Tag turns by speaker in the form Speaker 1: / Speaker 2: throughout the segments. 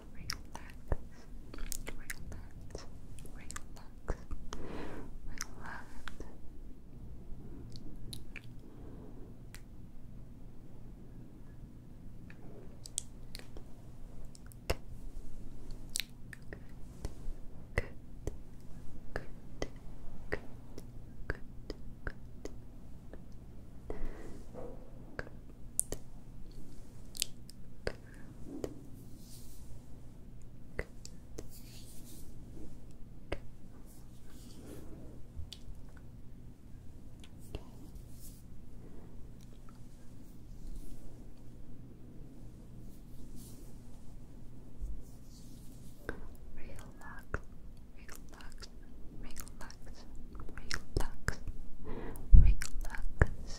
Speaker 1: relax, relax, relax. Good, good, good, good, good, good. Good. Good. Good. Good. Relax, relax, relax, relax, relax,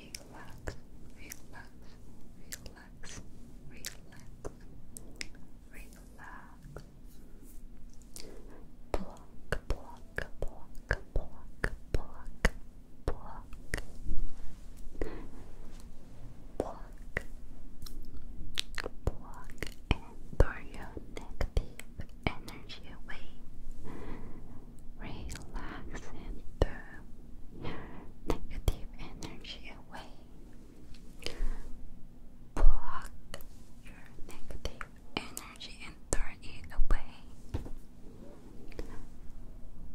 Speaker 1: relax, relax, relax, relax, relax. Block, block, block, block, block, block. Block, block, throw your negative energy away relax and negative energy away. Block your negative energy and turn it away.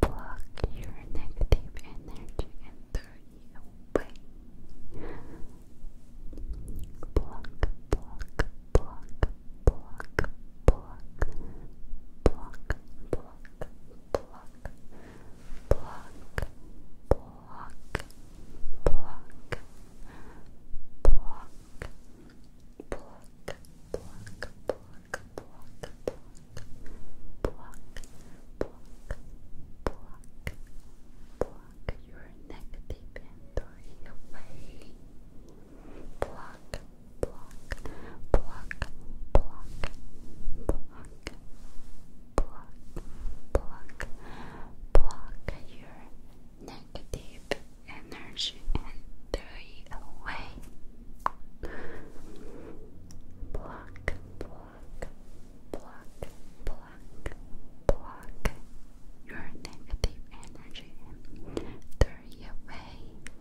Speaker 1: Block your negative energy and turn it away. Block, block, pluck, pluck, pluck, pluck, pluck, pluck, pluck, pluck, pluck, pluck. Pluck, pluck, pluck, pluck, pluck, pluck, pluck, pluck, pluck your negative energy away pluck, pluck, pluck, pluck, pluck, pluck, pluck, pluck your negative energy and throw it away. Pluck, pluck, pluck, pluck, pluck your negative energy and throw it away.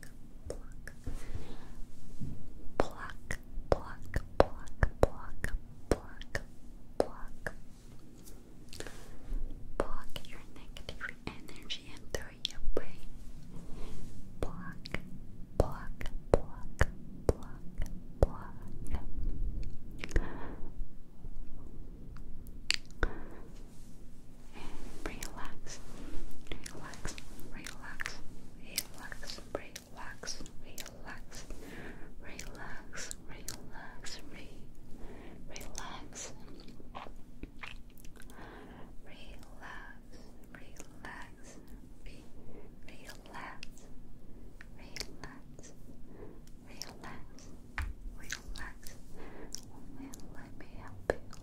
Speaker 1: pluck, pluck, pluck, pluck, pluck, pluck, Block your negative energy and throw it away. Block, block, block, block, block. relax, relax, relax, relax, relax, relax, relax, relax, re relax, relax, relax, relax, relax, relax, relax. Let me help you.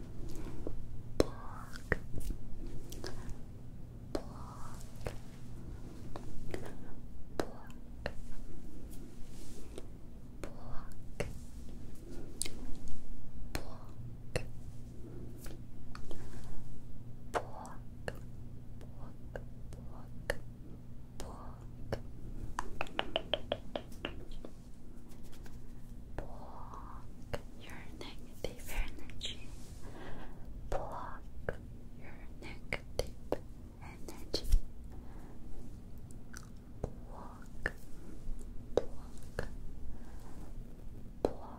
Speaker 1: block, block, block, block, block. Block, block, block, block, Block your negative energy. Block your negative energy. Block, block, block, block, block.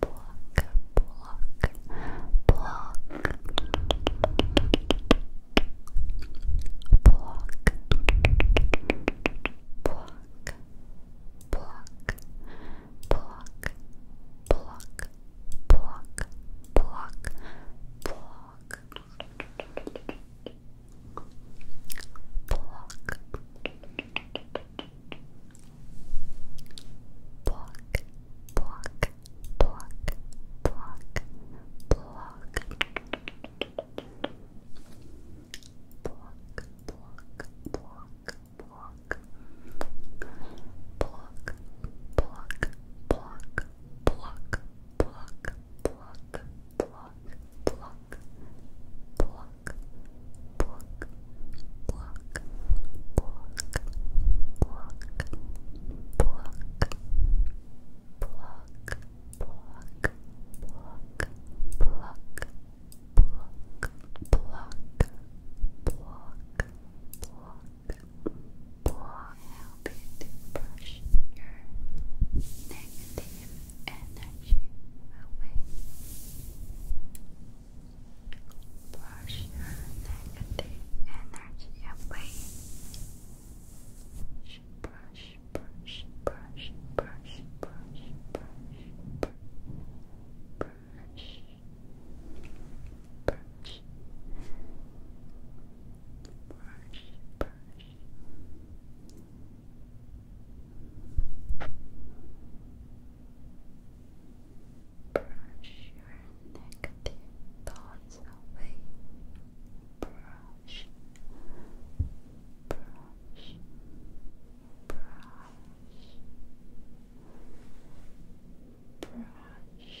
Speaker 2: block, block, block, block, block. Block, block, block, block, block, block, block, Block, block, block, block, block. Block, block, block, block. Block, block, block, block, block, block, block, block, block, block, pluck, pluck, pluck, pluck, pluck, pluck, pluck, pluck, pluck, pluck, pluck, pluck, pluck. Help you brush your negative energy away. Brush your negative energy away. brush, brush, brush, brush, brush, brush, brush, brush, brush, brush, brush, brush Brush your negative thoughts away. Brush, brush, brush, brush, brush. Brush,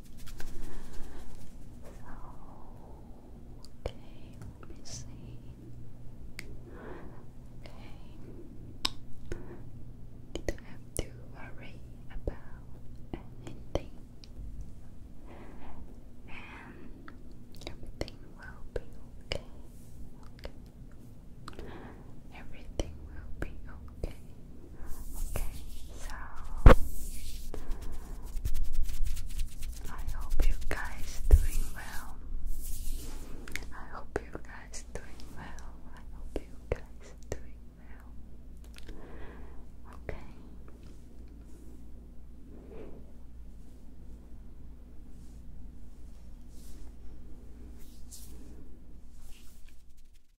Speaker 2: So, okay, let me see. Okay, you don't have to worry about anything, and everything will be okay. Okay, everything will be okay. Okay, so I hope you guys doing well. I hope you guys doing well. I hope you guys doing well. Okay.